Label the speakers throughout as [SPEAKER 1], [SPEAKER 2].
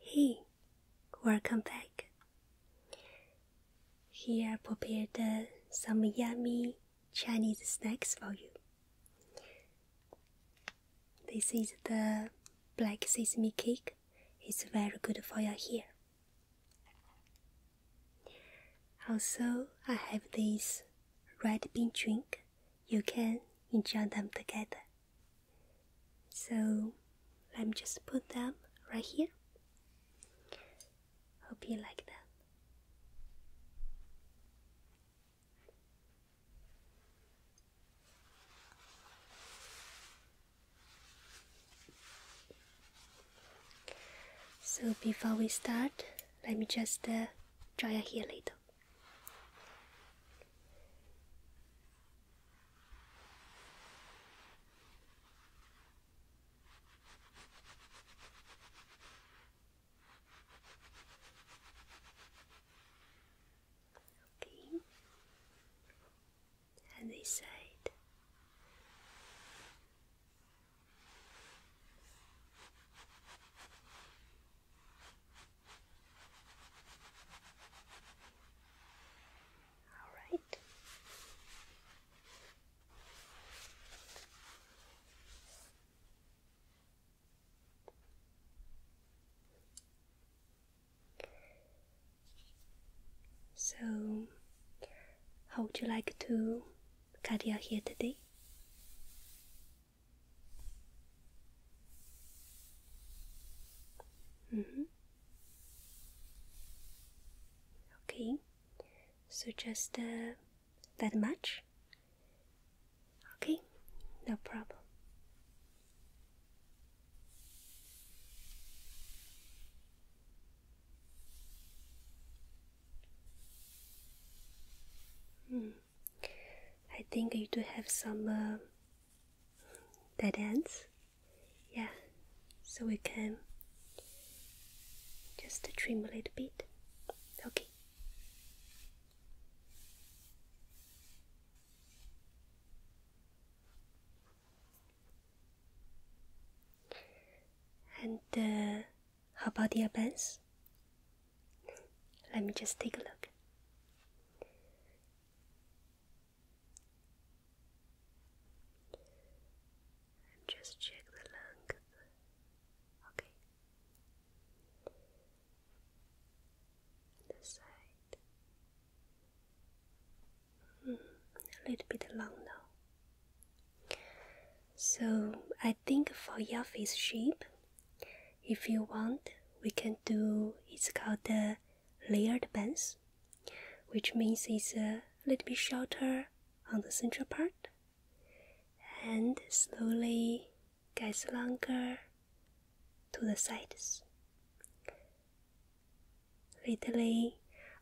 [SPEAKER 1] Hey, welcome back. Here I prepared some yummy Chinese snacks for you. This is the black sesame cake. It's very good for your hair. Also, I have this red bean drink you can enjoy them together. So let me just put them right here. Hope you like them. So before we start, let me just uh, dry your hair a little. Okay. And this side. All right. So, how would you like to cut your hair today? Mm-hmm. Okay, so just uh, that much? Okay, no problem. Mm. I think you do have some dead uh, ends. Yeah, so we can just trim a little bit. Okay. And uh, how about the bands? Let me just take a look. just check the length. Okay. This side. Mm, a little bit long now. So I think for your face shape, if you want we can do it's called the layered bangs, which means it's a little bit shorter on the central part and slowly gets longer to the sides lately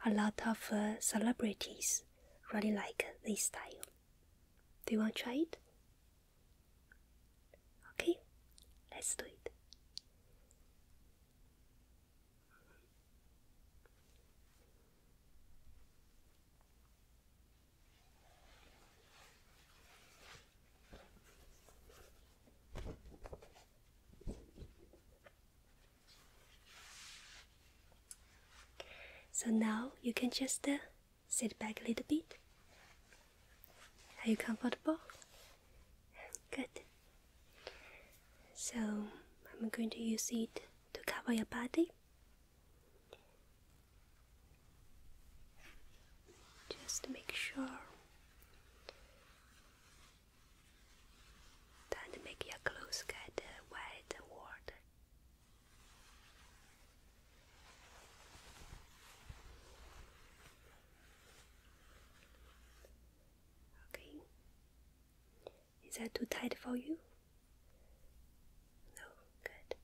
[SPEAKER 1] a lot of uh, celebrities really like this style do you want to try it Okay, let's do it. So now you can just uh, Sit back a little bit. Are you comfortable? Good. So I'm going to use it to cover your body. Just make sure that make your clothes get uh, wet or Okay. Is that too tight for you? No, good.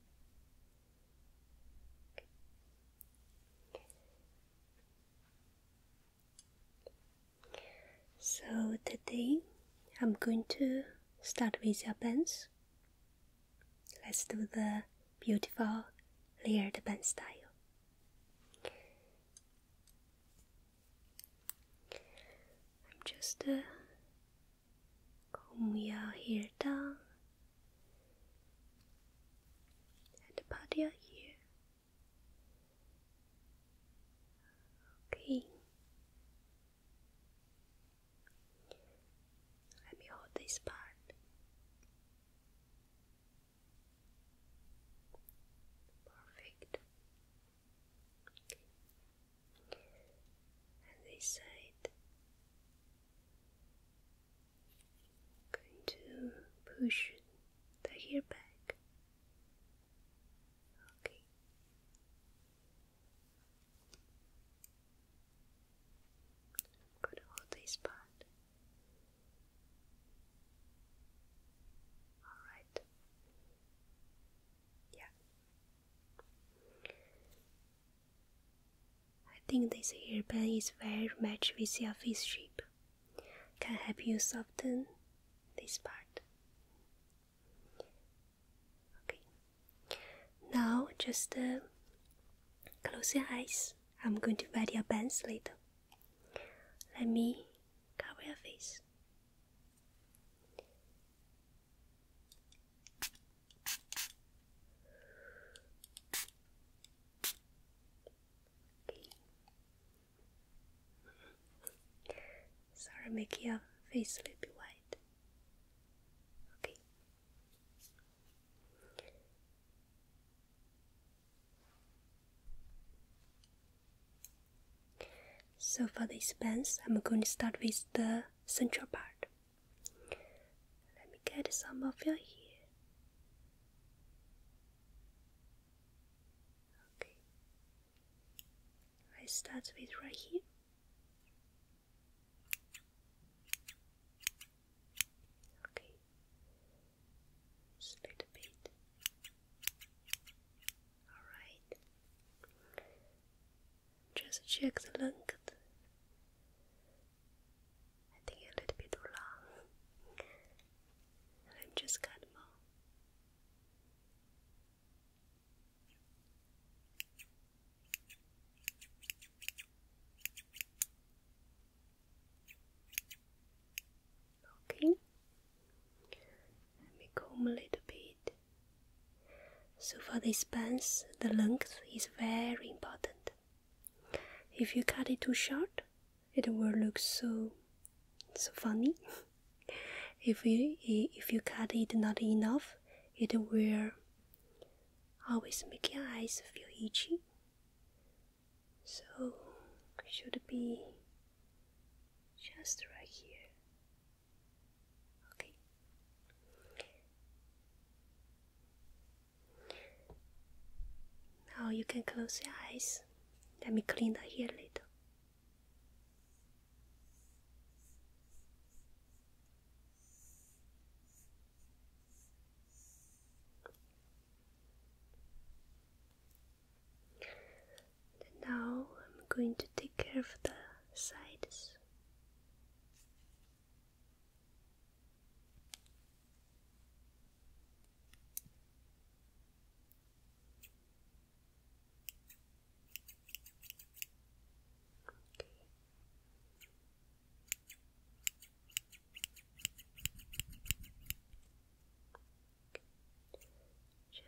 [SPEAKER 1] So today I'm going to start with your pants. Let's do the beautiful layered band style. I'm just uh, your hair down and part your ear. Okay, let me hold this part. Perfect. And this side. going to push the hair back. Okay. Good, hold this part. All right. Yeah. I think this hairband is very much with your face shape. Can help you soften this part. Okay. Now just uh, close your eyes. I'm going to wet your pants later. Let me cover your face. Sorry, make your face a little bit white. Okay. So for this pants, I'm going to start with the central part. Let me get some of your hair. Okay. I start with right here. Okay, just a little bit. All right. Just check the length. I think a little bit too long. I'm just cut more. Okay, let me comb a little bit. So, for this pants, the length is very important. If you cut it too short, it will look so, so funny. if you if you cut it not enough, it will always make your eyes feel itchy. So should be just right here. Okay. Now you can close your eyes. Let me clean the hair a little now I'm going to take care of the sides.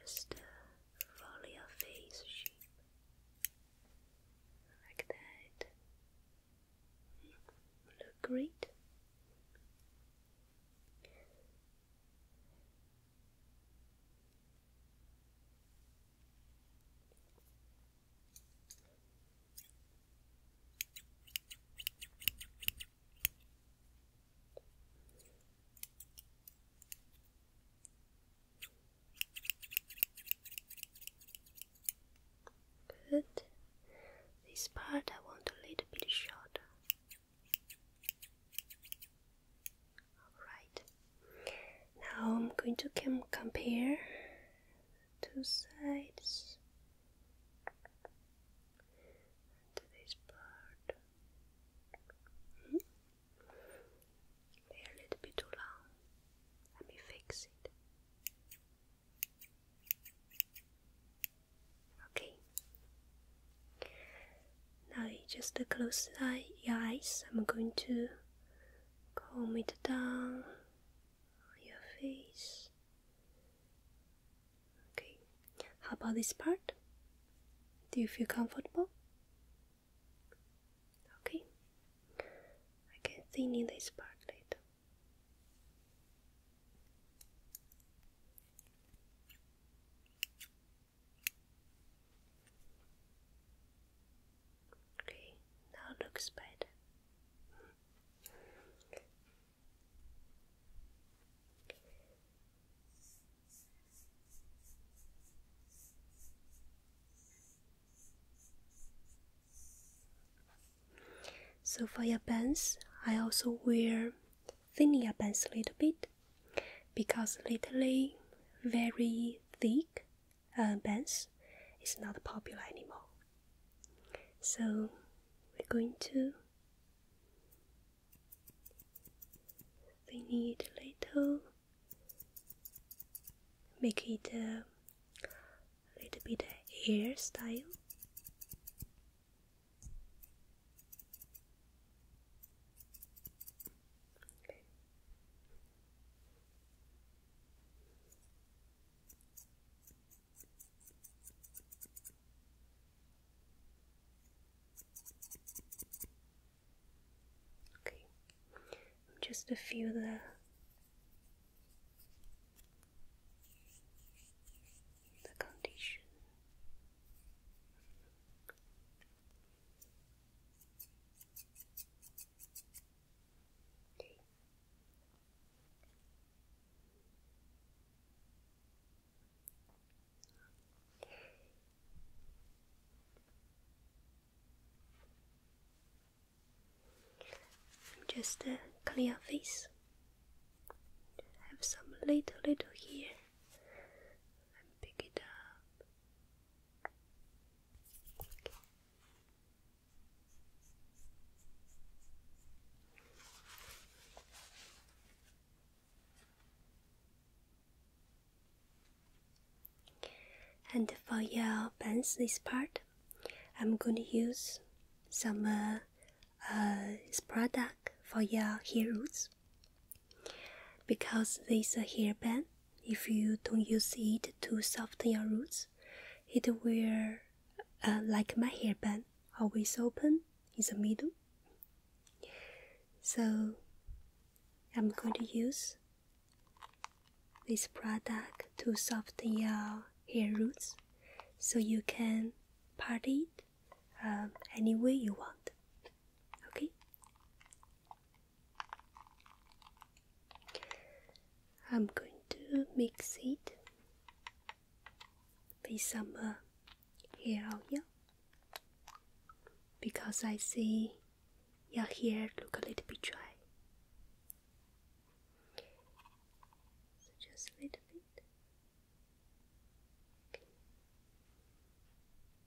[SPEAKER 1] Just uh, follow your face shape like that. Mm, look great. Good. This part I want a little bit shorter. Alright, now I'm going to compare two sides this part. Hmm? a little bit too long. Let me fix it. Okay. Now you just close your eyes. I'm going to comb it down your face. Okay, how about this part? Do you feel comfortable? Okay, I can see in this part later. Okay, now looks better. So for your pants, I also wear thinning your bands a little bit because lately very thick uh, bands is not popular anymore. So we're going to we need a little make it a little bit air style Okay, just a few there. The condition just a uh, clear face. Have some little, little here, and pick it up. And for your pants, this part, I'm going to use some uh, uh, product for your hair roots. Because this hairband, if you don't use it to soften your roots, it will, uh, like my hairband, always open in the middle. So I'm going to use this product to soften your hair roots so you can part it uh, any way you want. Okay? I'm going to mix it with some uh, hair oil because I see your hair look a little bit dry. So just a little bit.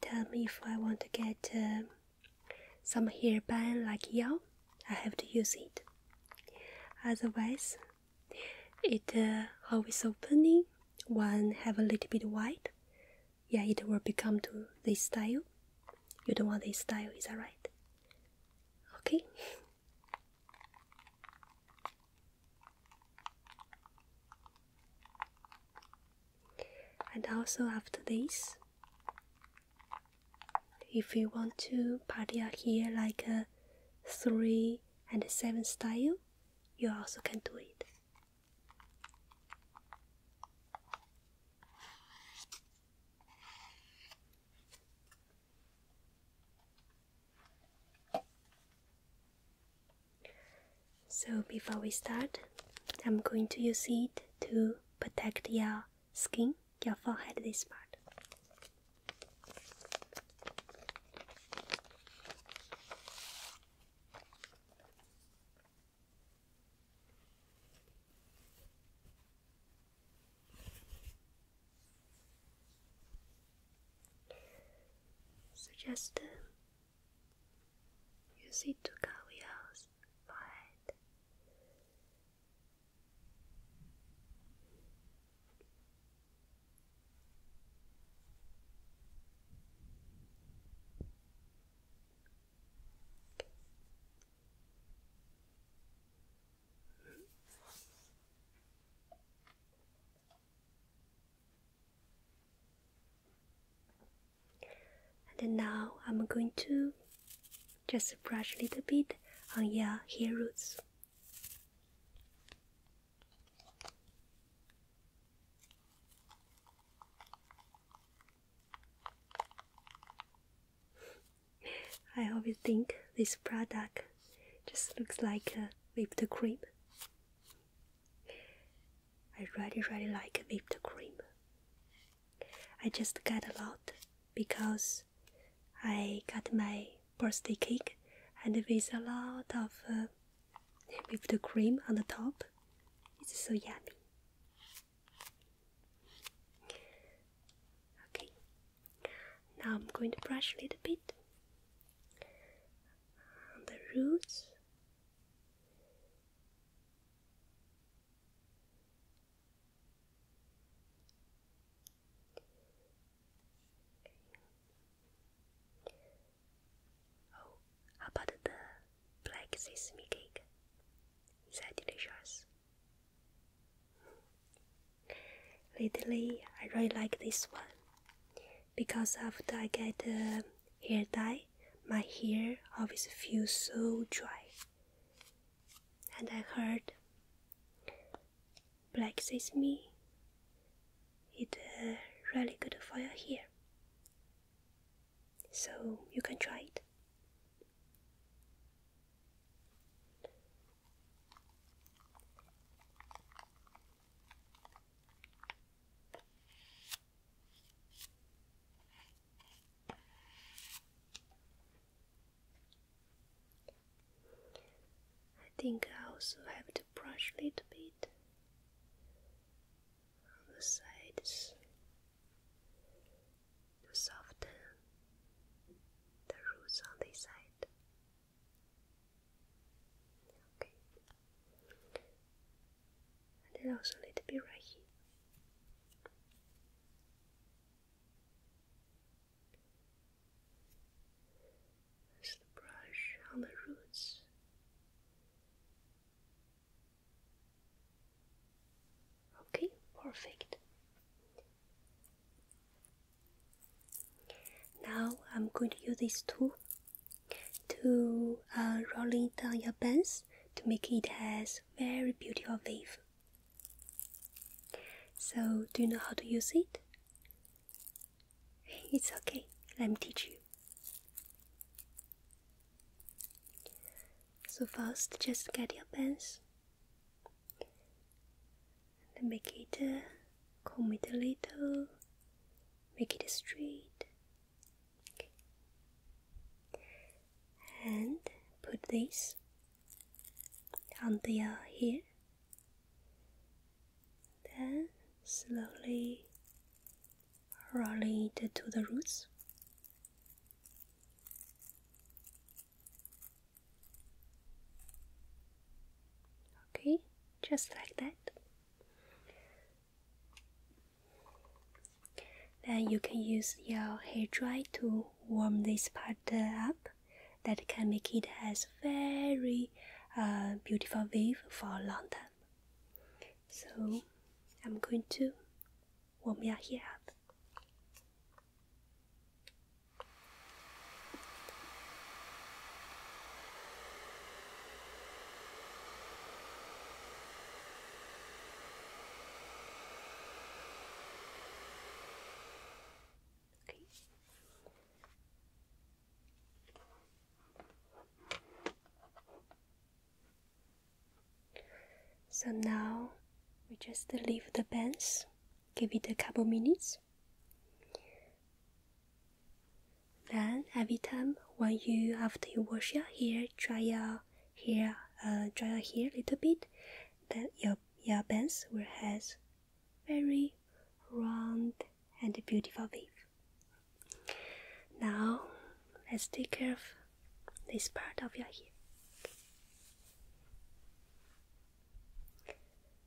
[SPEAKER 1] tell me if I want to get um, some hairband like yours, I have to use it. Otherwise, it uh, always opening. One have a little bit white. Yeah, it will become to this style. You don't want this style, is that right? Okay. And also after this, if you want to party out here like a three and seven style, you also can do it. So before we start, I'm going to use it to protect your skin, your forehead this part. So just um, you see two Tukawiao's forehead. And now I'm going to just brush a little bit on your hair roots. I always think this product just looks like a uh, whipped cream. I really, really like whipped cream. I just got a lot because I got my birthday cake and with a lot of uh, whipped cream on the top. It's so yummy. Okay, now I'm going to brush a little bit the roots. Oh, how about the black sesame cake? Is that delicious? Lately, I really like this one. Because after I get the hair dye, my hair always feels so dry. And I heard black sesame is uh, really good for your hair. So you can try it. I think I also have to brush a little bit on the sides to soften the roots on this side. Okay. then also a little bit right here. That's the brush on the roots. Okay, perfect. Now I'm going to use this tool to uh, rolling down your bands to make it as very beautiful wave. So do you know how to use it? It's okay, let me teach you. So first, just get your pens and make it uh, comb it a little, make it straight. And put this on the hair. Uh, here. Then slowly roll it to the roots. Okay, just like that. Then you can use your hairdryer to warm this part up. That can make it has very uh, beautiful wave for a long time. So I'm going to warm your hair up. Okay. So now we just leave the bands, give it a couple minutes. Then every time when you after you wash your hair, dry your hair, uh, dry your hair a little bit, then your your bangs will has very round and beautiful wave. Now let's take care of this part of your hair.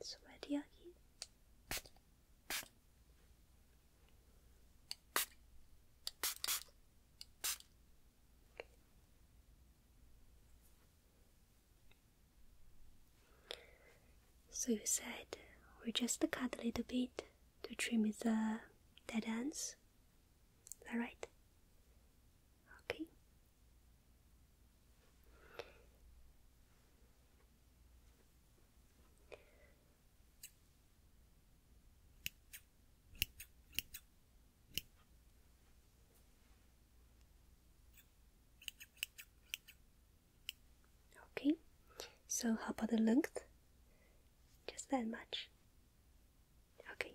[SPEAKER 1] It's already yucky. So you said we just cut a little bit to trim the dead ends. Is that right? Okay. Okay, so how about the length? Just that much. Okay.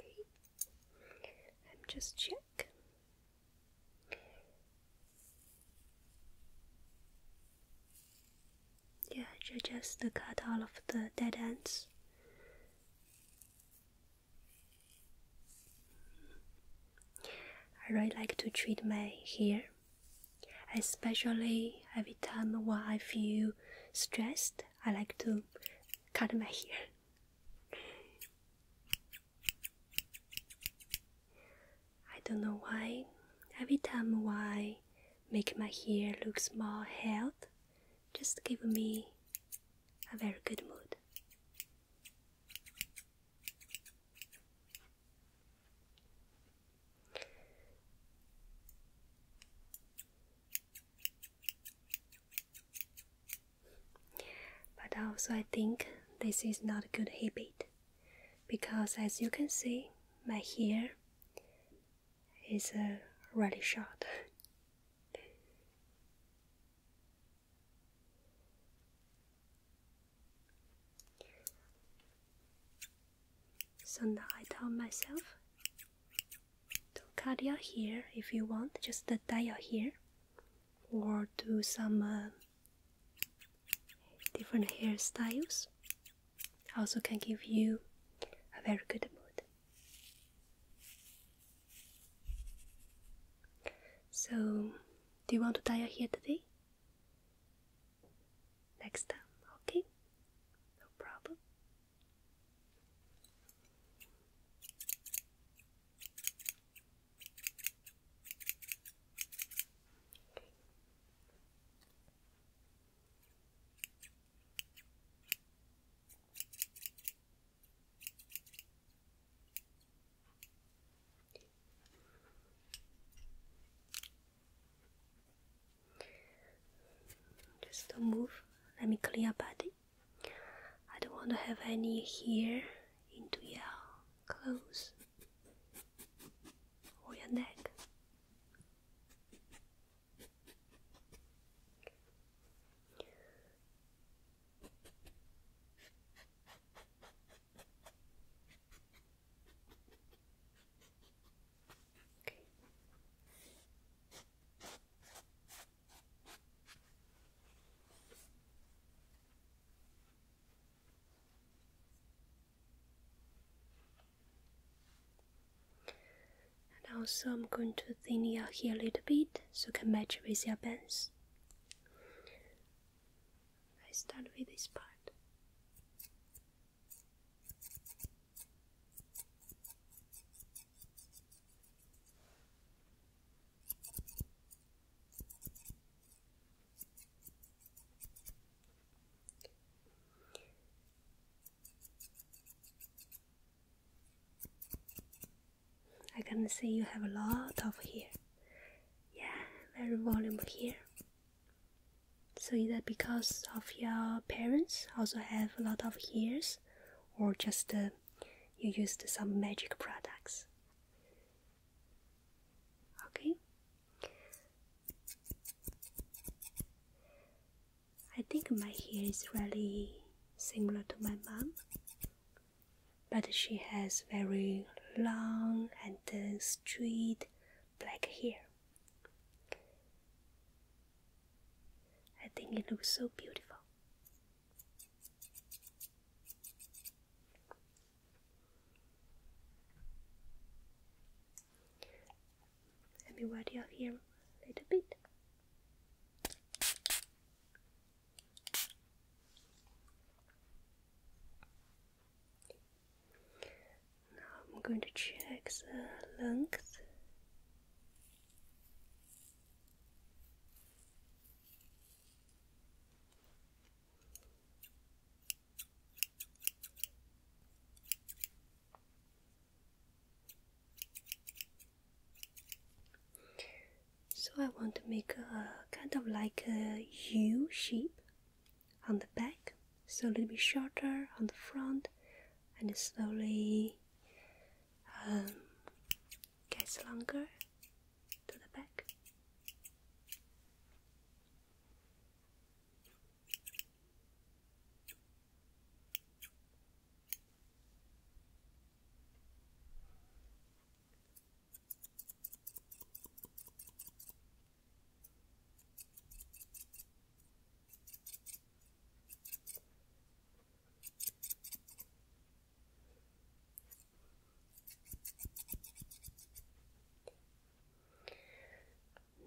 [SPEAKER 1] Okay, i just check. Yeah, just to cut all of the dead ends. I really like to treat my hair Especially every time when I feel stressed, I like to cut my hair. I don't know why. Every time when I make my hair look more health, just give me a very good mood. But also, I think this is not a good habit because, as you can see, my hair is really short. So now I tell myself to cut your hair if you want, just dye your hair or do some uh, different hairstyles. Also, can give you a very good mood. So, do you want to dye your hair today? next time, okay? No problem. Just don't move. Let me clean up. I don't want to have any here into your clothes or your neck. And also, I'm going to thin it out here a little bit so it can match with your bands. I start with this part. I can see you have a lot of hair. Yeah, very volume here. So is that because of your parents also have a lot of hairs, or just uh, you used some magic products? Okay. I think my hair is really similar to my mom, but she has very long and uh, straight black hair. I think it looks so beautiful. Let me wet your hair a little bit. Now I'm going to check the length. So I want to make a kind of like a U shape on the back, so a little bit shorter on the front, and slowly um, gets longer to the back.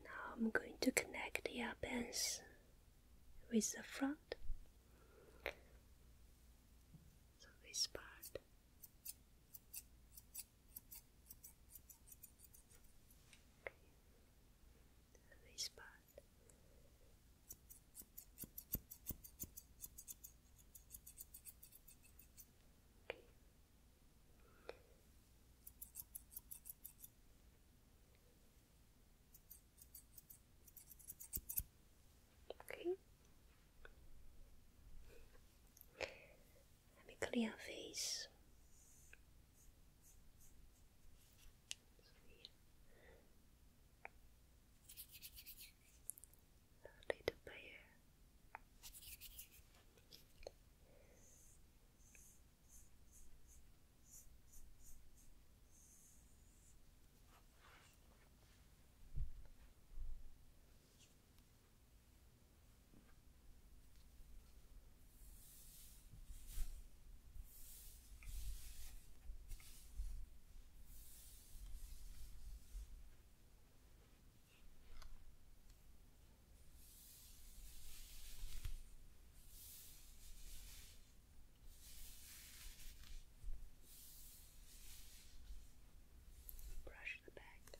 [SPEAKER 1] Now I'm going to connect the bands with the front. So this part. Okay. This part. Okay. Okay. Have a clear face. A little prayer. Brush the back.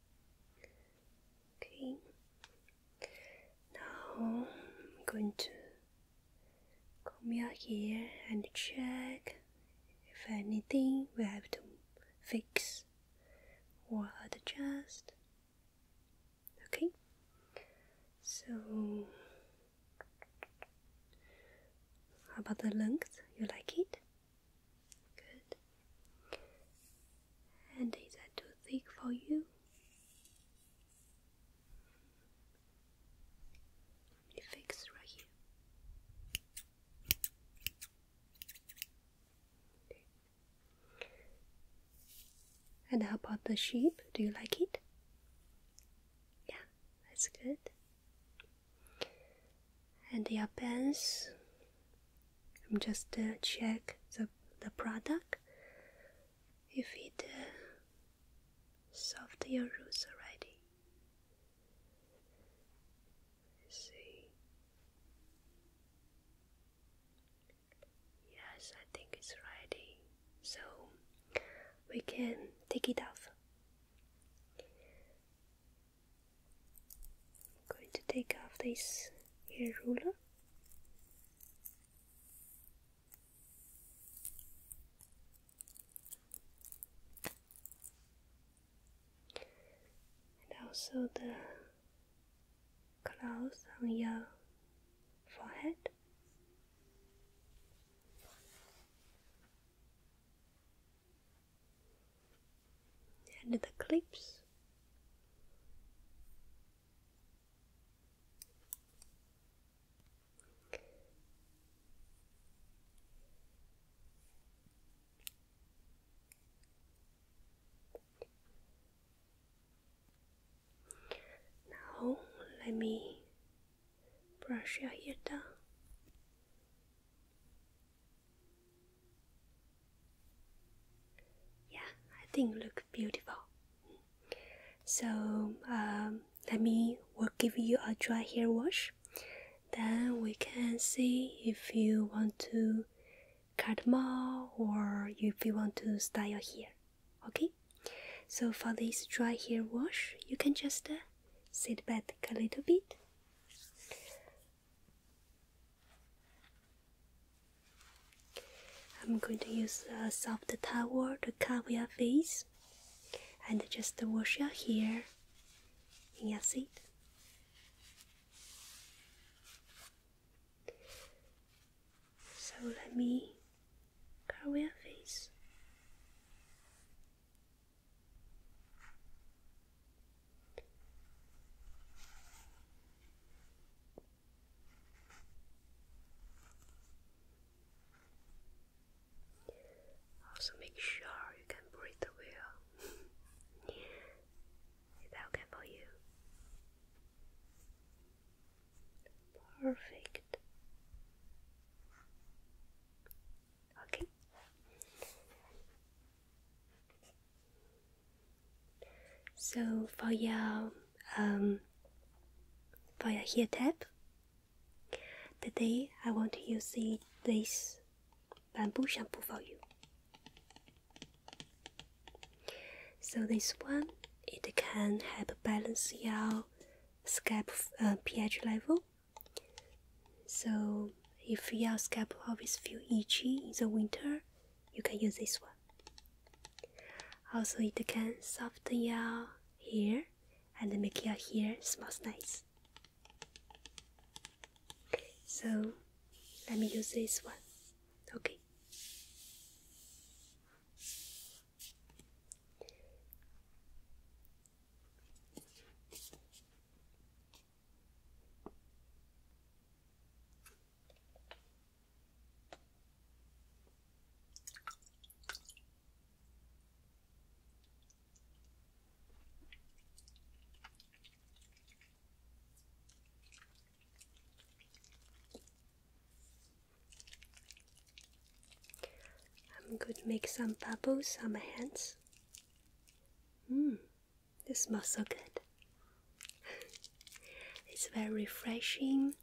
[SPEAKER 1] Okay. Now I'm going to come here and check if anything we have to fix or adjust. Okay. So how about the length? You like it? Good. And is that too thick for you? Let me fix right here. And how about the sheep? Do you like it? Yeah, that's good and your pens. I'm just to uh, check the, the product if it uh, soft your roots already see yes I think it's ready so we can take it off I'm going to take off this ruler. And also the clouds on your forehead and the clips. Now let me brush your hair down. Yeah, I think look beautiful. So um, let me will give you a dry hair wash. Then we can see if you want to cut more or if you want to style your hair. Okay. So for this dry hair wash, you can just uh, sit back a little bit. I'm going to use a soft towel to cover your face and just wash your hair in your seat. So let me cover your face. Also, make sure you can breathe well. Is okay for you? Perfect. Okay, so for your um for your hair tap, today I want to use this bamboo shampoo for you. So this one it can help balance your scalp uh, pH level so if your scalp always feel itchy in the winter, you can use this one. Also, it can soften your hair and make your hair smells nice. So let me use this one. Okay. I'm going to make some bubbles on my hands. Mmm, this smells so good. it's very refreshing.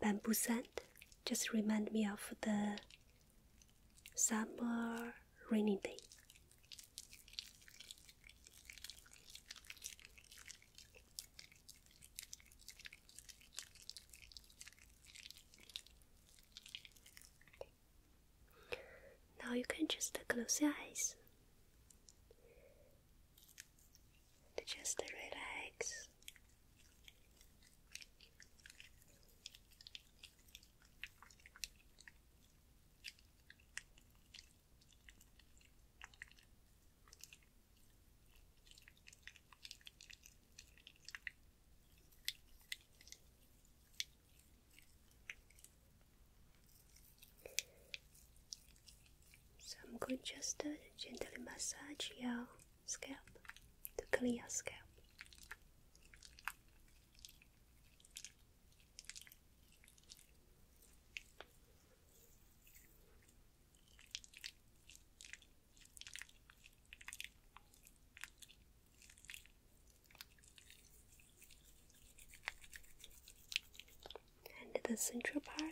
[SPEAKER 1] Bamboo scent just remind me of the summer rainy day. Now you can just close your eyes just relax. So I'm going to just to gently massage your scalp to clean your scalp and the central part.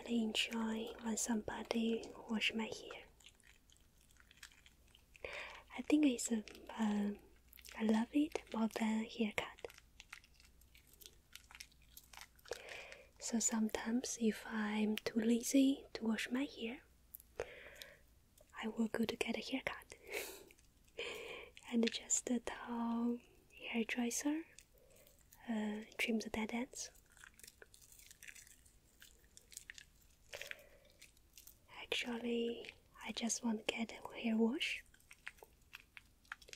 [SPEAKER 1] I really enjoy when somebody wash my hair. I think it's a, a I love it more than haircut. So sometimes if I'm too lazy to wash my hair, I will go to get a haircut. and just a towel, hairdresser, uh, trim the dead ends. Actually, I just want to get a hair wash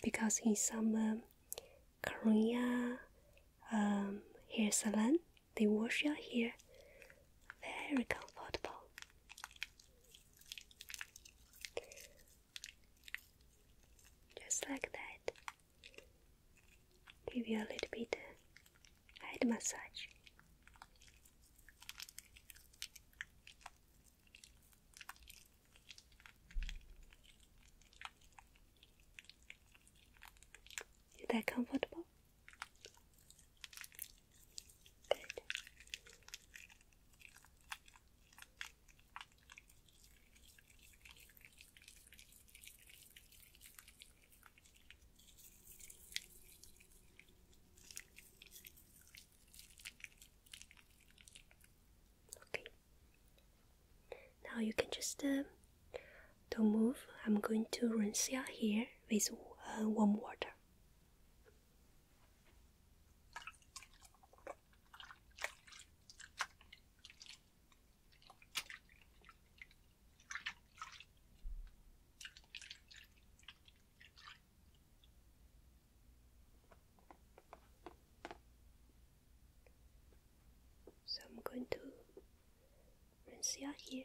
[SPEAKER 1] because in some um, Korea um, hair salon, they wash your hair very comfortable. Just like that. Give you a little bit head massage. Is that comfortable? Good. Okay. Now you can just um, don't move. I'm going to rinse your hair with uh, warm water. So I'm going to rinse it out here.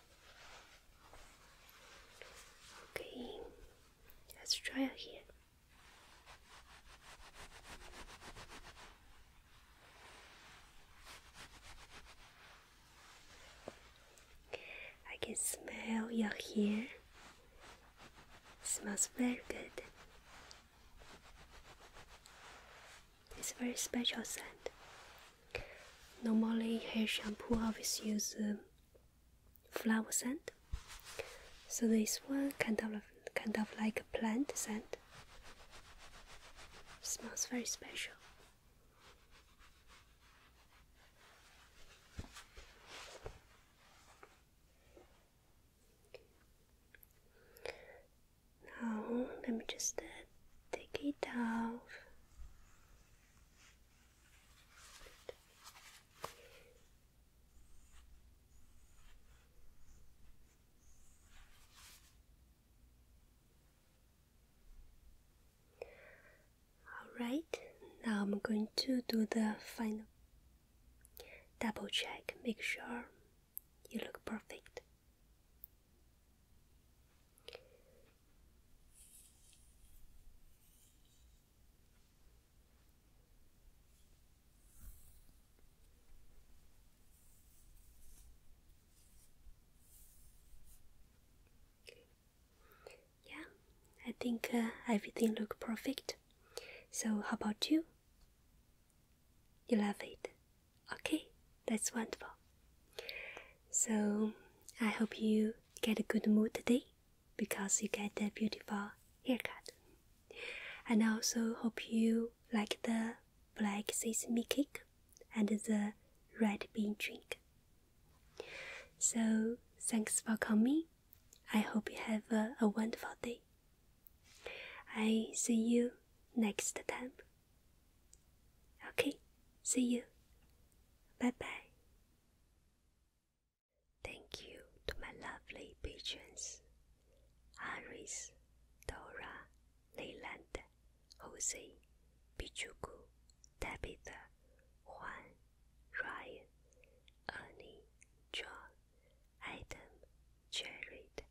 [SPEAKER 1] Okay, let's try it here. I can smell your hair. It smells very good. It's a very special scent. Normally, hair shampoo always use um, flower scent. So this one kind of kind of like a plant scent. Smells very special. Now let me just uh, take it off. All right, now I'm going to do the final double check, make sure you look perfect. Yeah, I think uh, everything look perfect. So how about you? You love it. Okay, that's wonderful. So I hope you get a good mood today because you get a beautiful haircut. And I also hope you like the black sesame cake and the red bean drink. So, thanks for coming. I hope you have a, a wonderful day. I see you next time. Okay, see you. Bye bye. Thank you to my lovely patrons Aris, Dora, Leyland, Jose, Pichuku, Tabitha, Juan, Ryan, Ernie, John, Adam, Jared,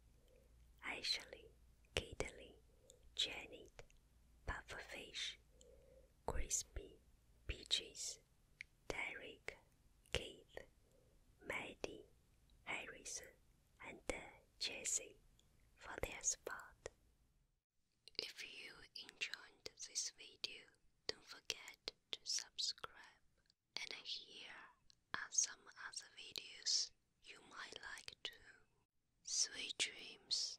[SPEAKER 1] Ashley, Caitlin, Janet, pufferfish, crispy, peaches, Derek, Keith, Maddie, Harrison, and uh, Jesse for their support. If you enjoyed this video, don't forget to subscribe. And here are some other videos you might like too. Sweet dreams.